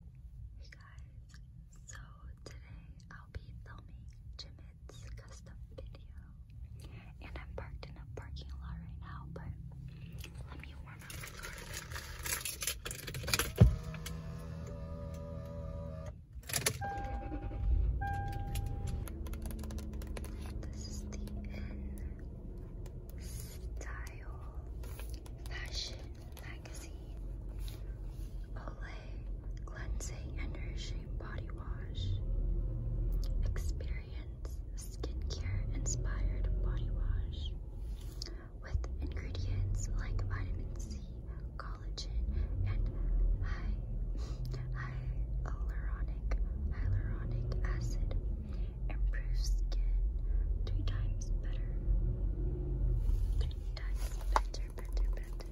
Hey guys, so today I'll be filming Jimit's custom video and I'm parked in a parking lot right now, but let me warm up This is the style Fashion Cleansing and Nourishing Body Wash, Experience Skincare Inspired Body Wash with ingredients like vitamin C, collagen, and hy hyaluronic, hyaluronic acid improves skin three times better. Three times better, better, better.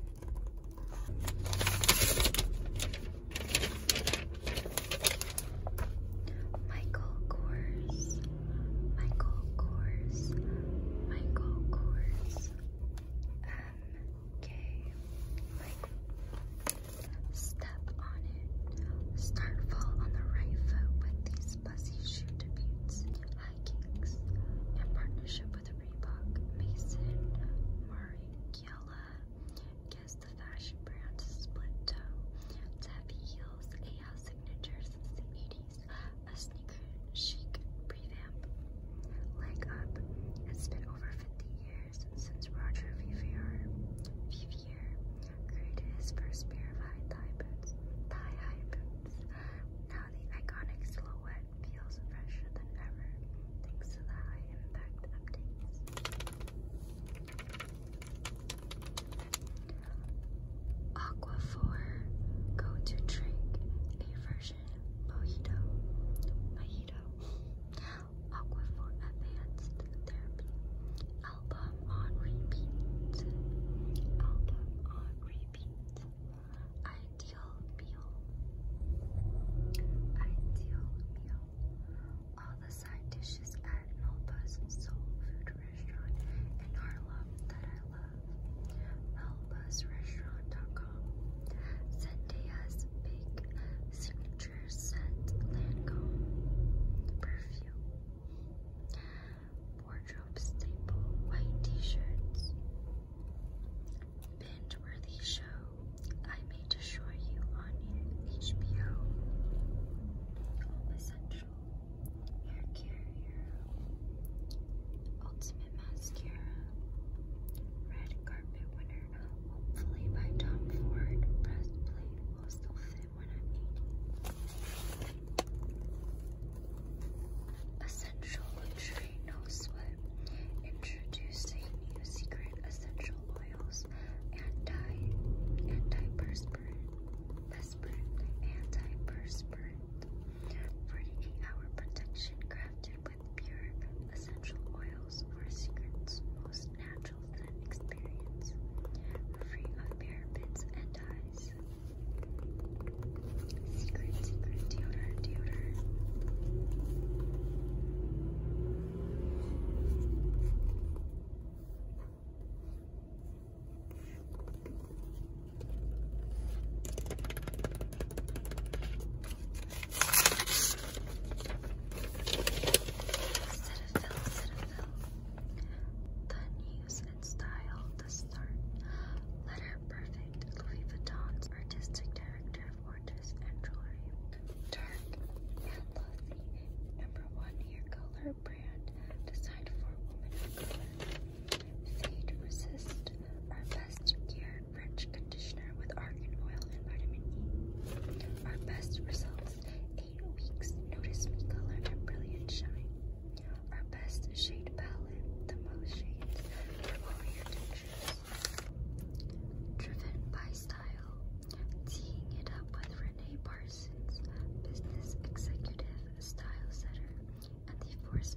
Michael Kors, Michael Kors, Michael Kors, M K, step on it. Start fall on the right foot with these fuzzy shoe debuts. High in partnership with Reebok, Mason, Murray, Guess the fashion brand split toe. To heels, a house signature A sneaker chic revamp. Leg up. It's been over 50 years since Roger Vivier year, created his first pair of high boots, high boots. Now the iconic silhouette feels fresher than ever, thanks to the high-impact updates. Aquaphor go-to drink, a version mojito, mojito. Aquaphor Advanced Therapy. Album on repeat. Album on repeat. Ideal meal. Ideal meal. All the side dishes at Melba's Soul Food Restaurant in Harlem that I love. Melba's Restaurant.com. Zendaya's Big Signature Nature Lancome Perfume Wardrobe Staple White T-Shirts Binge-worthy show I may destroy you on HBO Essential Hair Care Ultimate Mascara Red Carpet Winner hopefully by Tom Ford breastplate will still fit when I'm 80. Essential luxury, no sweat. Introducing new secret essential oils, and anti, antiperspirant, perspirant, antiperspirant. 48 hour protection crafted with pure essential oils for a secret's most natural scent experience, free of parabens and dyes. Secret, secret, deodorant, deodorant. Citadel, The news and style, the start. Letter perfect, Louis Vuitton's artistic director of orders and jewelry. Dark and glossy, number one hair color brand designed for women Fade resist, our best gear French conditioner with argan oil and vitamin E. Our best results, eight weeks, notice me color and brilliant shine. Our best shade palette, the most shades, and all your textures. Driven by style, teeing it up with Renee Parsons, business executive, style setter, and the force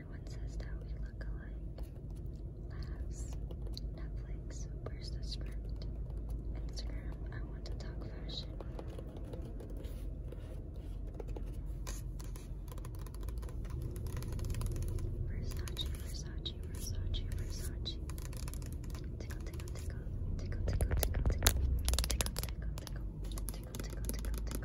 everyone says that we look alike. Netflix. Where's the script? Instagram. I want to talk fashion. Versace, Versace, Versace, Versace. tickle, tickle, tickle, tickle, tickle, tickle, tickle, tickle, tickle, tickle, tickle, tickle,